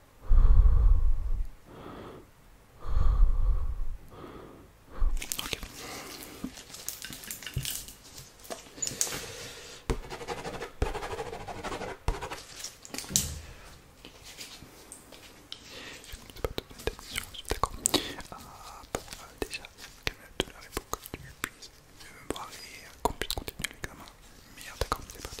Ok. Je ne pas donner je suis d'accord. Ah, bon, déjà, même la que tu puisses me voir et qu'on puisse continuer l'examen. Merde, d'accord, c'est parti.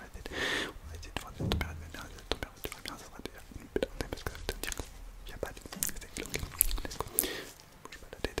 va essayer, on va essayer de voir des tu bien, ça fera déjà parce que ça veut dire qu'il n'y a pas de c'est let's go, bouge la tête.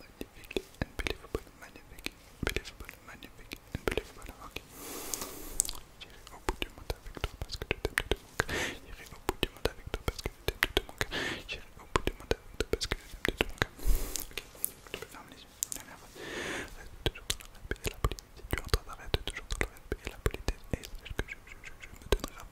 magnifique, unbelievable, magnifique, unbelievable, magnifique, unbelievable, ok. J'irai au bout du monde avec toi parce que tu t'es J'irai au bout du monde avec toi parce que tu mon cœur. avec toi parce que Ok, tu peux fermer les yeux, la Reste toujours dans la politesse. Si tu toujours dans la politesse. Et ce que je, me donnerai